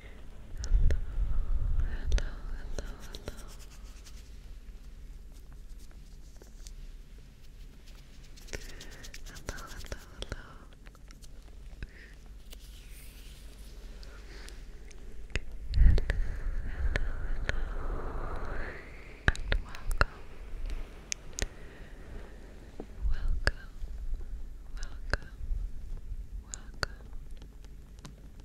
hello, hello, hello. Hello, hello, hello. Hello, and welcome. Welcome, welcome, welcome.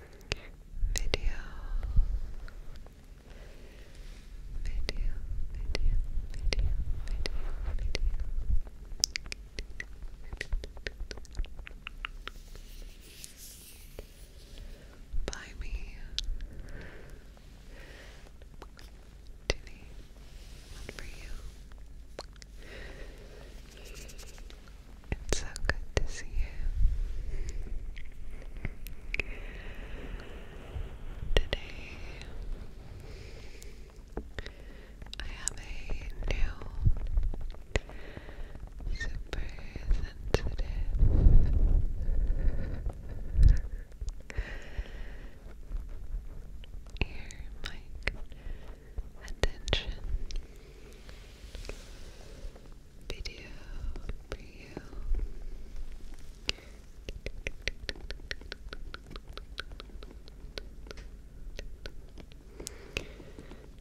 video, video, video, video, video, video. By me to for you. It's so good to see you. Today, I have a new super sensitive ear mic attention video for you.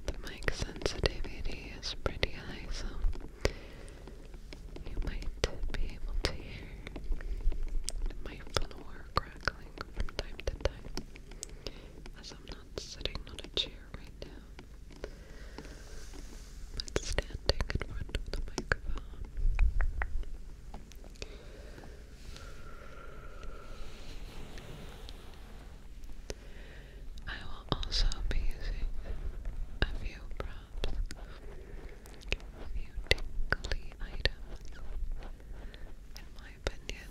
The mic sensitivity is pretty high, so you might be able to hear my floor crackling from time to time as I'm not sitting on a chair right now, but standing in front of the microphone. I will also be using a few props, a few tingly items, in my opinion,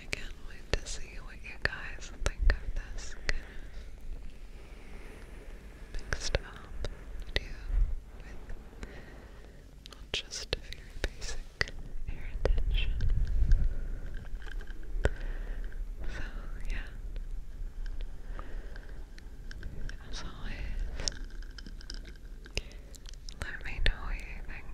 I can't wait to see what you guys think of this mixed up video with not just very basic ear attention. So yeah. As always, let me know what you think.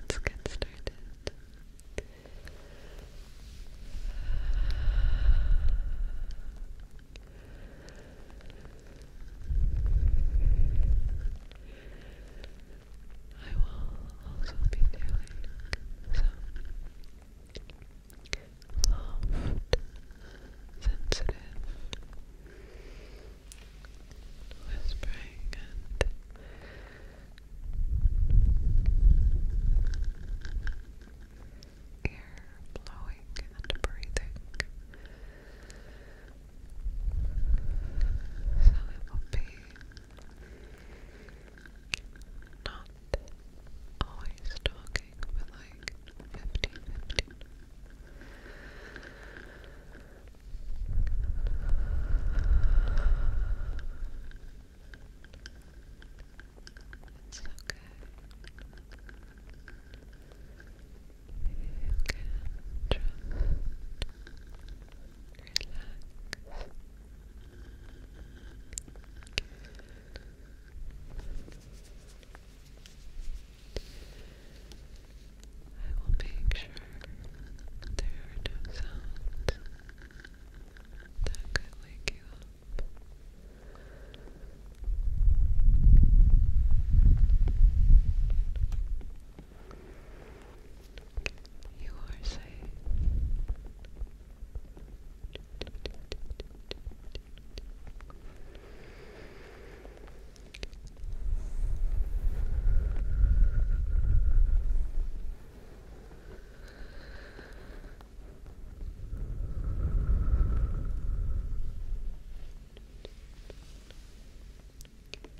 Let's get started. I will also be doing some soft, sensitive whispering and Air blowing and breathing. So it will be not always talking, but like 15, It's okay. You can just relax. I will make sure there are no sounds that could wake you up. You are safe.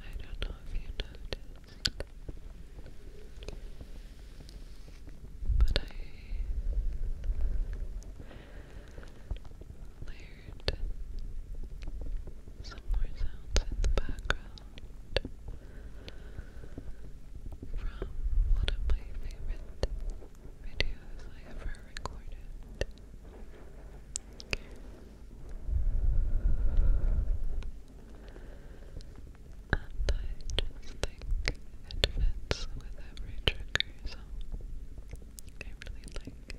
I don't know if you noticed, but I layered some more sounds in the background from one of my favorite videos I ever recorded. And I just think it fits with every trigger, so I really like it.